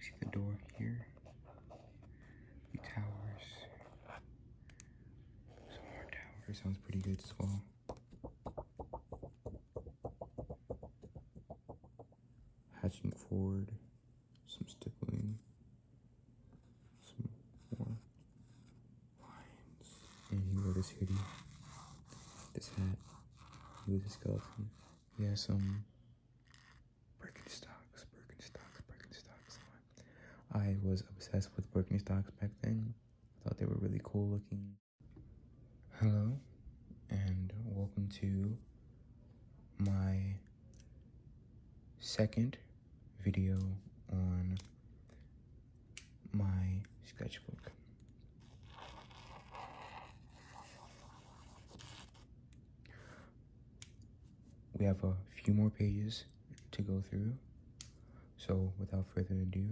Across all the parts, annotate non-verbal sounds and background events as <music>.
see the door here, the towers. Some more towers, sounds pretty good as well. Hatching forward, some stippling, some more lines. And you wore this hoodie, this hat, With this a we some Birkenstocks, Birkenstocks, Birkenstocks. I was obsessed with Birkenstocks back then. I thought they were really cool looking. Hello, and welcome to my second video on my sketchbook. We have a few more pages to go through. So without further ado,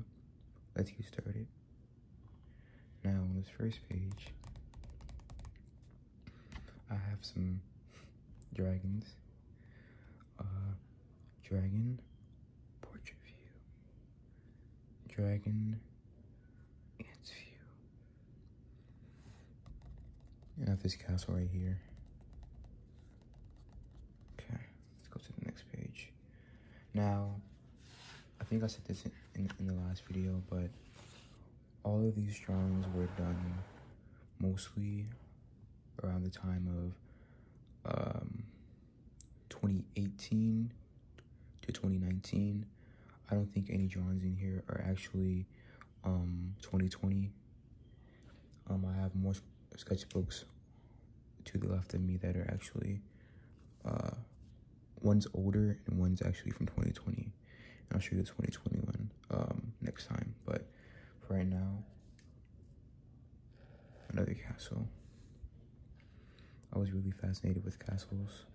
let's get started. Now on this first page, I have some dragons. Uh, dragon portrait view. Dragon ants view. You have this castle right here. Okay, let's go to the next page. Now, I think I said this in, in, the last video, but all of these drawings were done mostly around the time of um, 2018 to 2019. I don't think any drawings in here are actually 2020. Um, um, I have more sketchbooks to the left of me that are actually, uh, one's older and one's actually from 2020. I'll show you the 2021 um, next time. But for right now, another castle. I was really fascinated with castles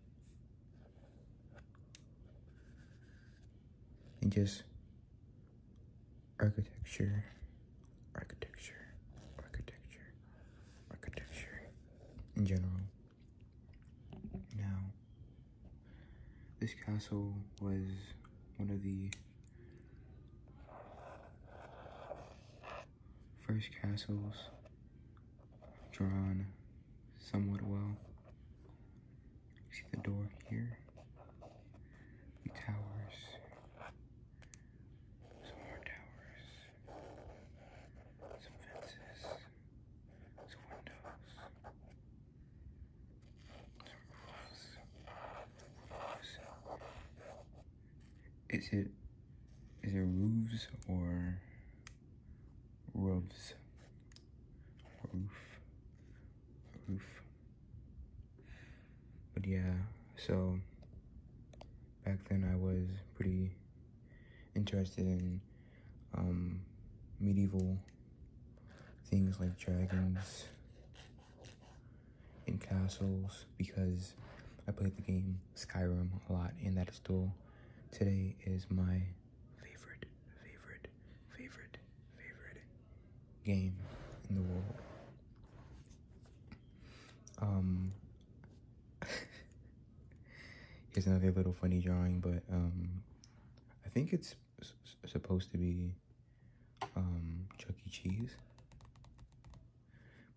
and just architecture, architecture, architecture, architecture in general. Now, this castle was one of the first castles drawn somewhat well. see the door here, towers, some more towers, some fences, some windows, some roofs. Is it is it roofs or roofs, roof, roof. But yeah, so back then I was pretty interested in um, medieval things like dragons and castles because I played the game Skyrim a lot in that still Today is my favorite, favorite, favorite, favorite game in the world. Um, <laughs> here's another little funny drawing, but um, I think it's supposed to be um, Chuck E. Cheese,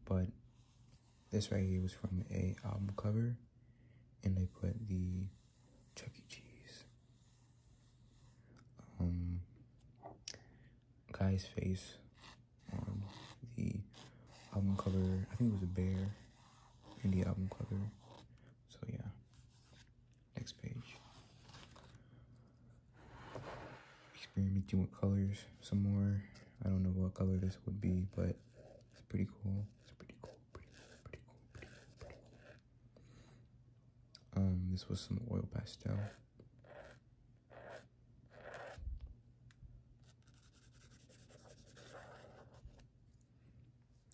but this right here was from a album cover, and they put the Chuck E. Cheese um, guy's face on the album cover. I think it was a bear in the album cover. So yeah, next page. Experimenting with colors some more. I don't know what color this would be, but it's pretty cool. It's pretty cool. Pretty Pretty cool. Pretty Pretty Um, this was some oil pastel.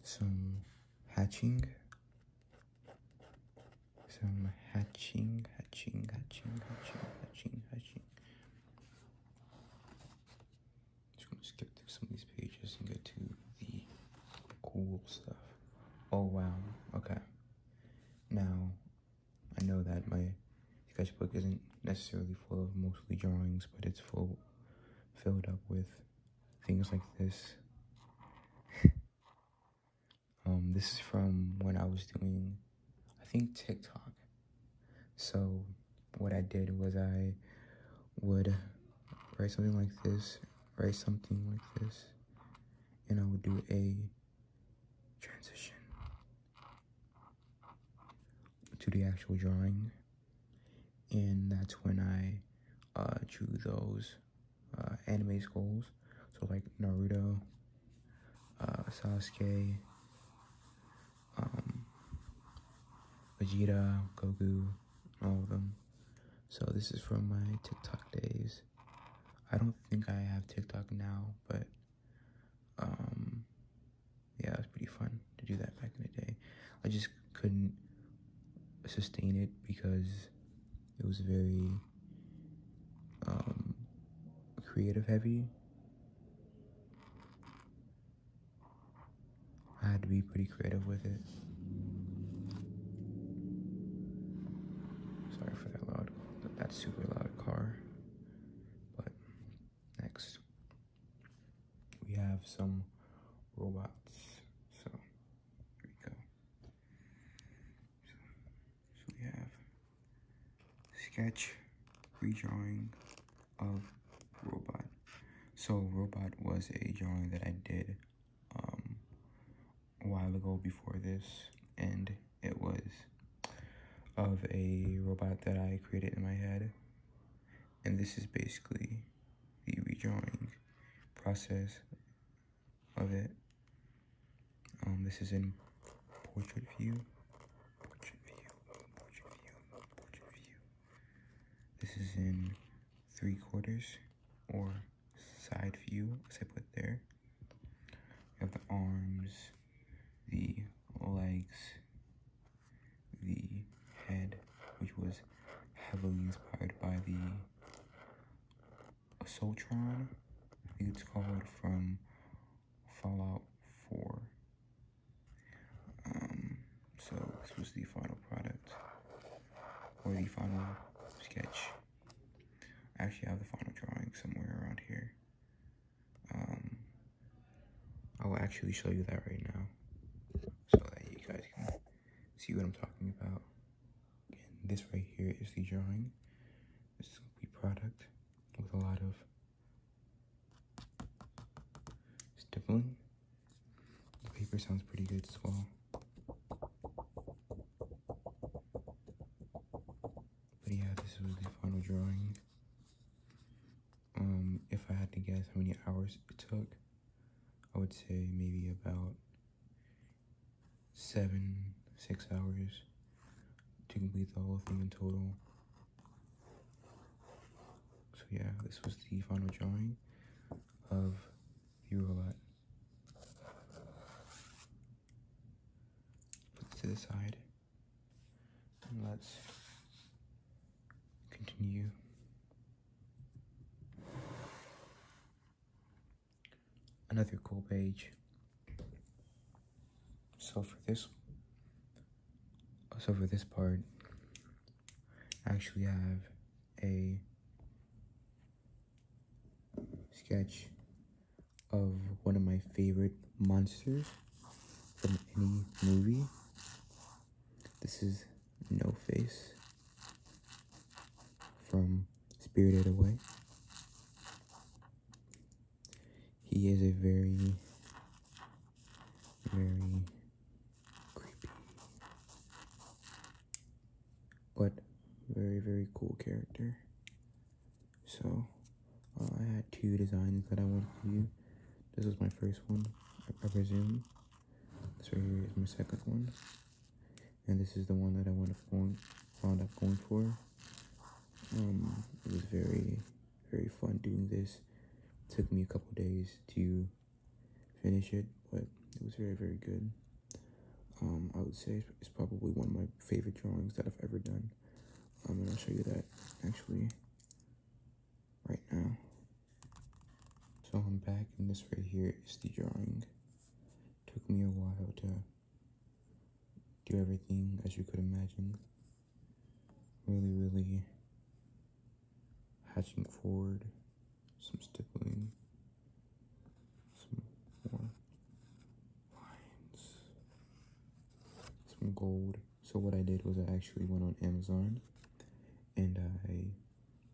Some hatching. Some hatching, hatching, hatching, hatching, hatching, hatching. Just gonna skip through some of these pages and get to the cool stuff. Oh wow, okay. Now, I know that my sketchbook isn't necessarily full of mostly drawings, but it's full, filled up with things like this. <laughs> um, this is from when I was doing I think TikTok. So what I did was I would write something like this, write something like this, and I would do a transition to the actual drawing. And that's when I uh, drew those uh, anime skulls. So like Naruto, uh, Sasuke, um, Vegeta, Goku, all of them. So this is from my TikTok days. I don't think I have TikTok now, but um, yeah, it was pretty fun to do that back in the day. I just couldn't sustain it because it was very um, creative heavy I had to be pretty creative with it. Sorry for that loud, that super loud car. But next, we have some robots. So here we go. so we have sketch redrawing of robot so robot was a drawing that i did um, a while ago before this and it was of a robot that i created in my head and this is basically the redrawing process of it um, this is in portrait view this is in three quarters or side view, as I put there. You have the arms, the legs, the head, which was heavily inspired by the Soltron, I think it's called, from Fallout 4. Um, so this was the final product, or the final sketch. I actually have the final drawing somewhere around here. I um, will actually show you that right now, so that you guys can see what I'm talking about. this right here is the drawing. This is the product with a lot of Stippling. The paper sounds pretty good as well. But yeah, this was the final drawing. Um, if I had to guess how many hours it took, I would say maybe about seven, six hours to complete the whole thing in total. So yeah, this was the final drawing of the robot. Put this to the side let's continue. Another cool page. So for this, so for this part, I actually have a sketch of one of my favorite monsters from any movie. This is No Face from Spirited Away. He is a very, very creepy, but very, very cool character. So, uh, I had two designs that I wanted to do. This was my first one, I, presume. This right here is my second one. And this is the one that I wound up going, wound up going for. Um, it was very, very fun doing this. It took me a couple days to finish it, but it was very, very good. Um, I would say it's probably one of my favorite drawings that I've ever done. Um, and I'll show you that actually right now. So I'm back, and this right here is the drawing. Took me a while to do everything as you could imagine. Really, really hatching forward, some stippling, some more lines, some gold. So what I did was I actually went on Amazon and I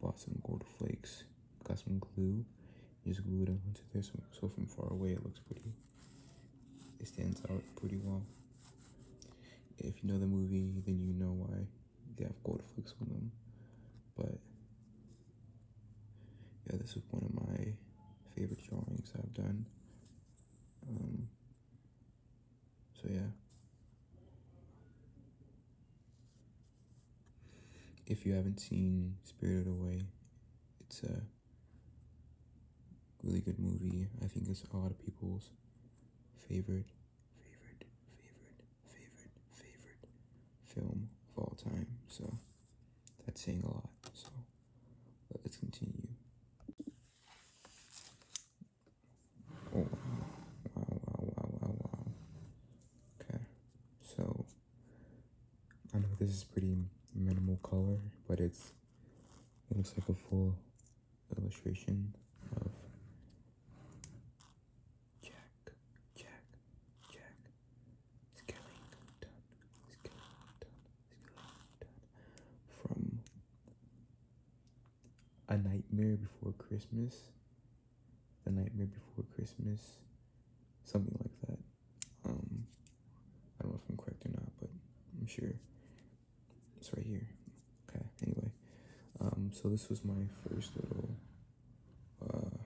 bought some gold flakes, got some glue, just glued them onto this. so from far away it looks pretty. It stands out pretty well. If you know the movie, then you know why they have gold flicks on them. But yeah, this is one of my favorite drawings I've done. Um, so yeah. If you haven't seen Spirited Away, it's a Really good movie. I think it's a lot of people's favorite, favorite, favorite, favorite, favorite film of all time. So that's saying a lot. So let's continue. wow, wow, wow, wow, wow. Okay, so I know this is pretty minimal color, but it's it looks like a full illustration of Jack, Jack, Jack, from A Nightmare Before Christmas, a Nightmare Before Christmas, something like that. Um, I don't know if I'm correct or not, but I'm sure it's right here. Okay, anyway, um, so this was my first little uh,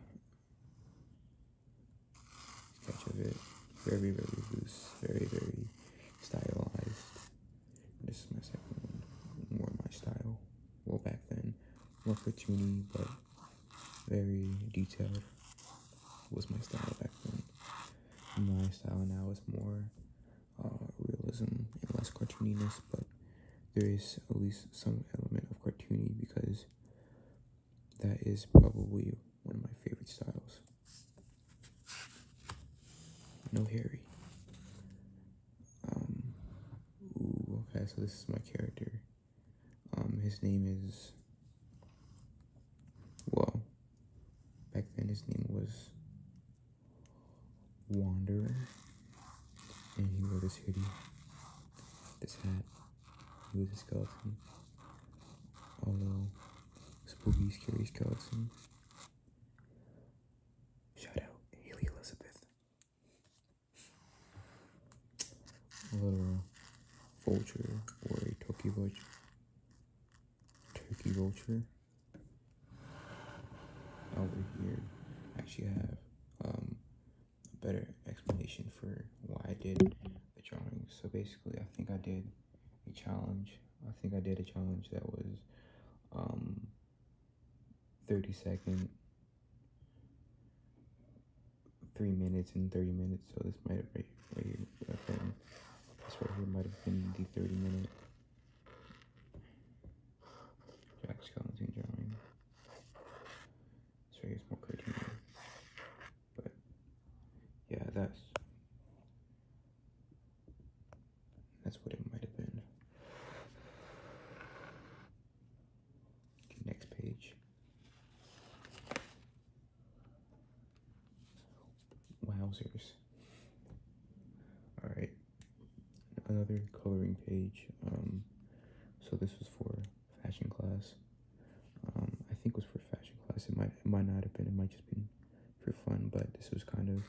sketch of it. Very, very loose, very, very stylized. This is my second one, more my style. Well, back then, more cartoony, but very detailed was my style back then. My style now is more uh, realism and less cartooniness, but there is at least some element of cartoony because that is probably one of my favorite styles. No Harry. Um, okay, so this is my character. Um, his name is, well, back then his name was Wanderer, and he wore this hoodie, this hat, he was a Oh no, spooky, scary skeleton. Shout out Haley Elizabeth a little vulture or a turkey vulture. Turkey vulture. Over here, I actually have um, a better explanation for why I did the drawing. So basically, I think I did a challenge. I think I did a challenge that was um, 30 second three minutes and 30 minutes. So this might have right, This right here might have been the 30 minute Jack's Skellington drawing. This right more cartoon. But yeah, that's that's what it might have been. next page. Wowzers. Alright, another coloring page. Um, so this was for fashion class. Um, I think it was for fashion class. It might, it might not have been. It might just been for fun. But this was kind of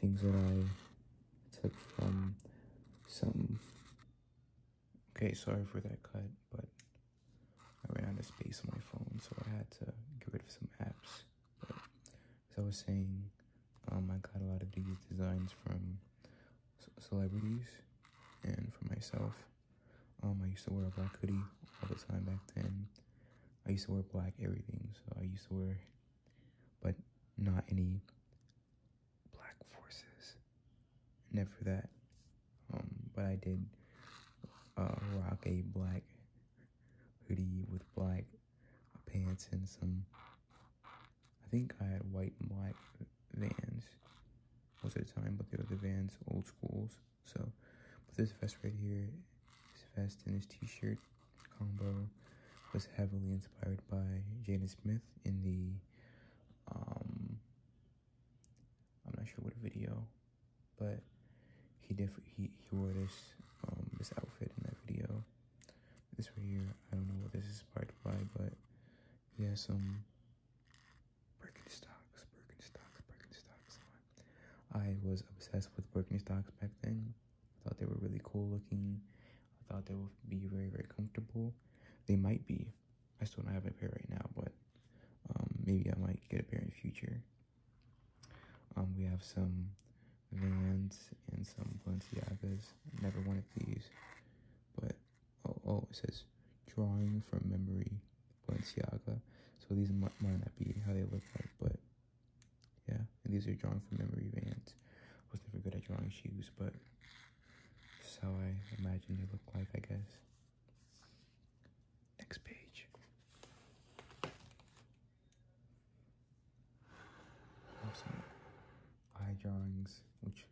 things that I took from some Okay, sorry for that cut, but I ran out of space on my phone, so I had to get rid of some apps. But as I was saying, um, I got a lot of these designs from celebrities and for myself. Um, I used to wear a black hoodie all the time back then. I used to wear black everything, so I used to wear, but not any black forces. Never that. Um, but I did uh, rock a black hoodie with black pants and some. I think I had white and black vans most of the time, but they were the vans old schools. So, but this vest right here, this vest and this t-shirt combo was heavily inspired by Jaden Smith in the um, I'm not sure what video, but he definitely he he wore this um this outfit in that video. This right here, I don't know what this is part of by, but he has some Birkenstocks, Birkenstocks, Birkenstocks I was obsessed with Birkenstocks back then. I thought they were really cool looking. I thought they would be very very comfortable. They might be. I still don't have a pair right now, but um, maybe I might get a pair in the future. Um, we have some Vans and some Balenciagas. Never one of these, but oh, oh it says drawing from memory Balenciaga. So these might, not be how they look like, but yeah. these are drawing from memory Vans. I was never good at drawing shoes, but so I imagine they look like, I guess. Next page. eye drawings, which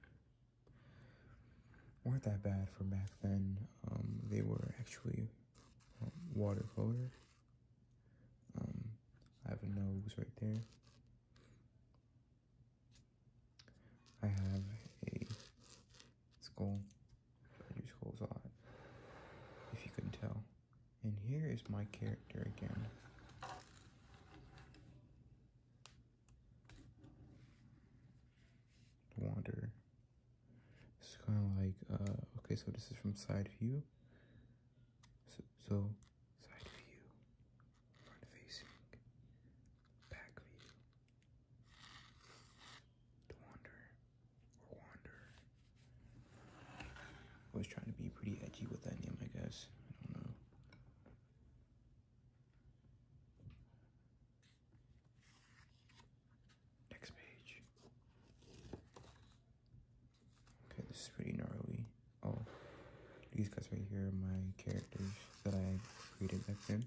weren't that bad for back then. Um, they were actually um, watercolor. Um, I have a nose right there. I have a skull. Your skull's odd, if you can tell. And here is my character again. Wander. It's kind of like, uh, okay, so this is from side view. so side view front facing, back view, the wander or wander. I was trying to be pretty edgy with that name, I guess. I don't know. Next page. Okay, this is pretty gnarly. Oh, these guys right here are my characters that I created back then.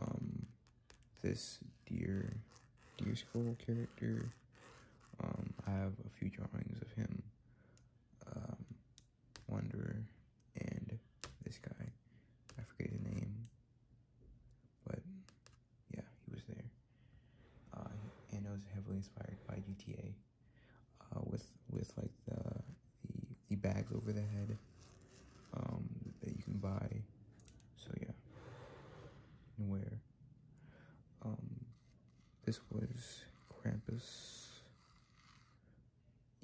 Um, this deer, deer skull character. Um, I have a few drawings of him. Um, Wanderer and this guy. I forget his name, but yeah, he was there. Uh, and I was heavily inspired by GTA. Uh, with with like the, the, bags over the head um, that you can buy. So yeah, and wear. Um, this was Krampus.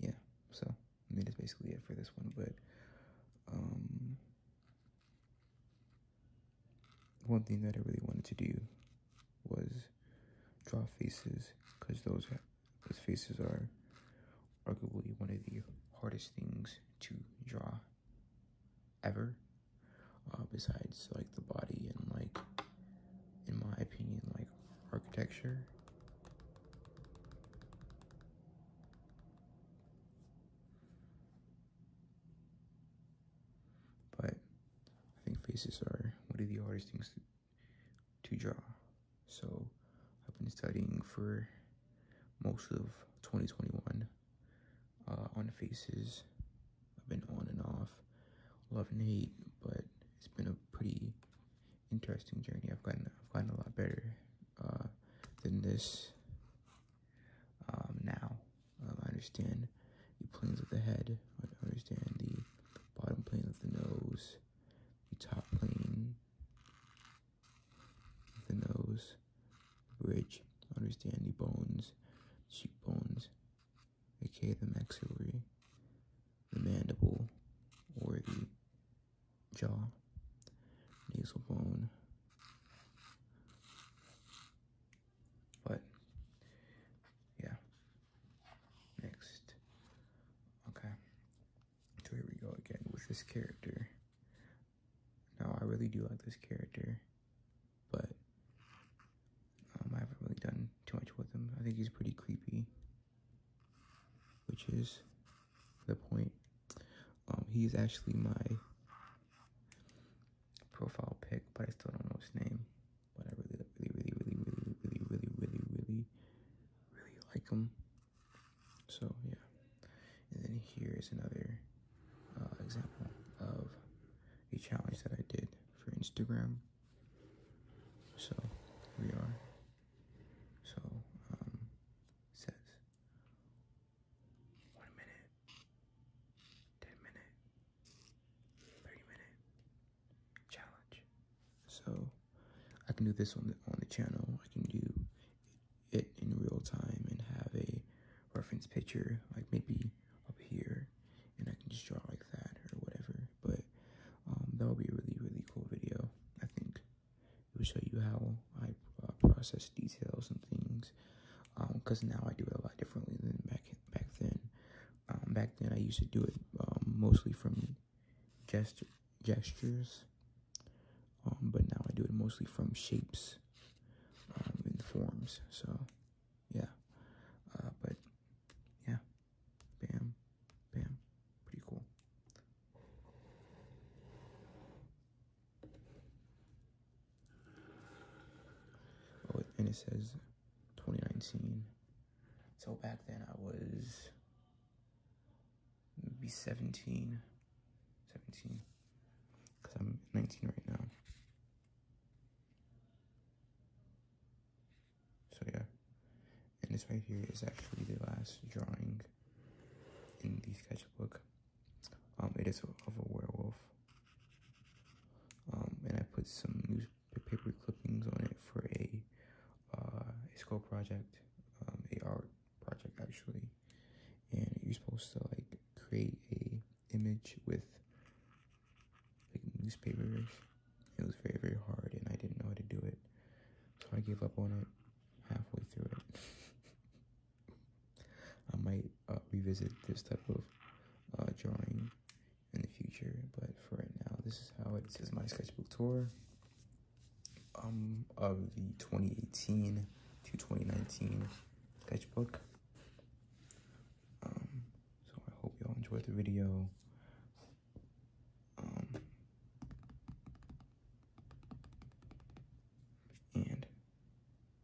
Yeah, so I mean that's basically it for this one, but. Um, one thing that I really wanted to do was draw faces because those those faces are arguably one of the hardest things to draw ever uh, besides like the body and like in my opinion like architecture but I think faces are one of the hardest things to to draw. So I've been studying for most of 2021 uh, on faces. I've been on and off, love and hate, but it's been a pretty interesting journey. I've gotten I've gotten a lot better uh, than this um, now. I understand the planes of the head. I understand the bottom plane of the nose, the top plane of the nose, bridge, understand the bones, cheekbones, Okay, the maxillary, the mandible, or the jaw, nasal bone. But yeah, Next. Okay. So here we go again with this character. Now, I really do like this character, but um, I haven't really done too much with him. I think he's pretty creepy, which is the point. Um, he's actually my profile pick, but I still don't know his name but I really, really, really, really, really, really, really, really, really, really like them. So yeah, and then here is another uh, example of a challenge that I did for Instagram. So we are. So um, says one minute, ten minute, thirty minute, challenge. So I can do this on the on the channel. I can do it in real time and have a reference picture, like maybe up here, and I can just draw like that or whatever. But um, that will be a really really cool video. I think it will show you how I uh, process details and things. Because um, now I do it a lot differently than back back then. Um, back then, I used to do it um, mostly from gestures, um, but now I do it mostly from shapes and forms. So, yeah. Uh, but, yeah. Bam. Bam. Pretty cool. Oh, and it says 2019. So back then I was maybe 17, 17, because I'm 19 right now. So yeah, and this right here is actually the last drawing in the sketchbook. Um, it is of a werewolf. Um, and I put some news paper clippings on it for a, uh, a project, um, a art project actually. And you're supposed to like create a image with like newspapers. It was very, very hard and I didn't know how to do it. So I gave up on it halfway through it. <laughs> I might uh, revisit this type of uh, drawing in the future. But for right now, this is how it is. my sketchbook tour um, of the 2018 to 2019 sketchbook. Um, so I hope y'all enjoyed the video. Um, and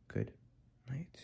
good night.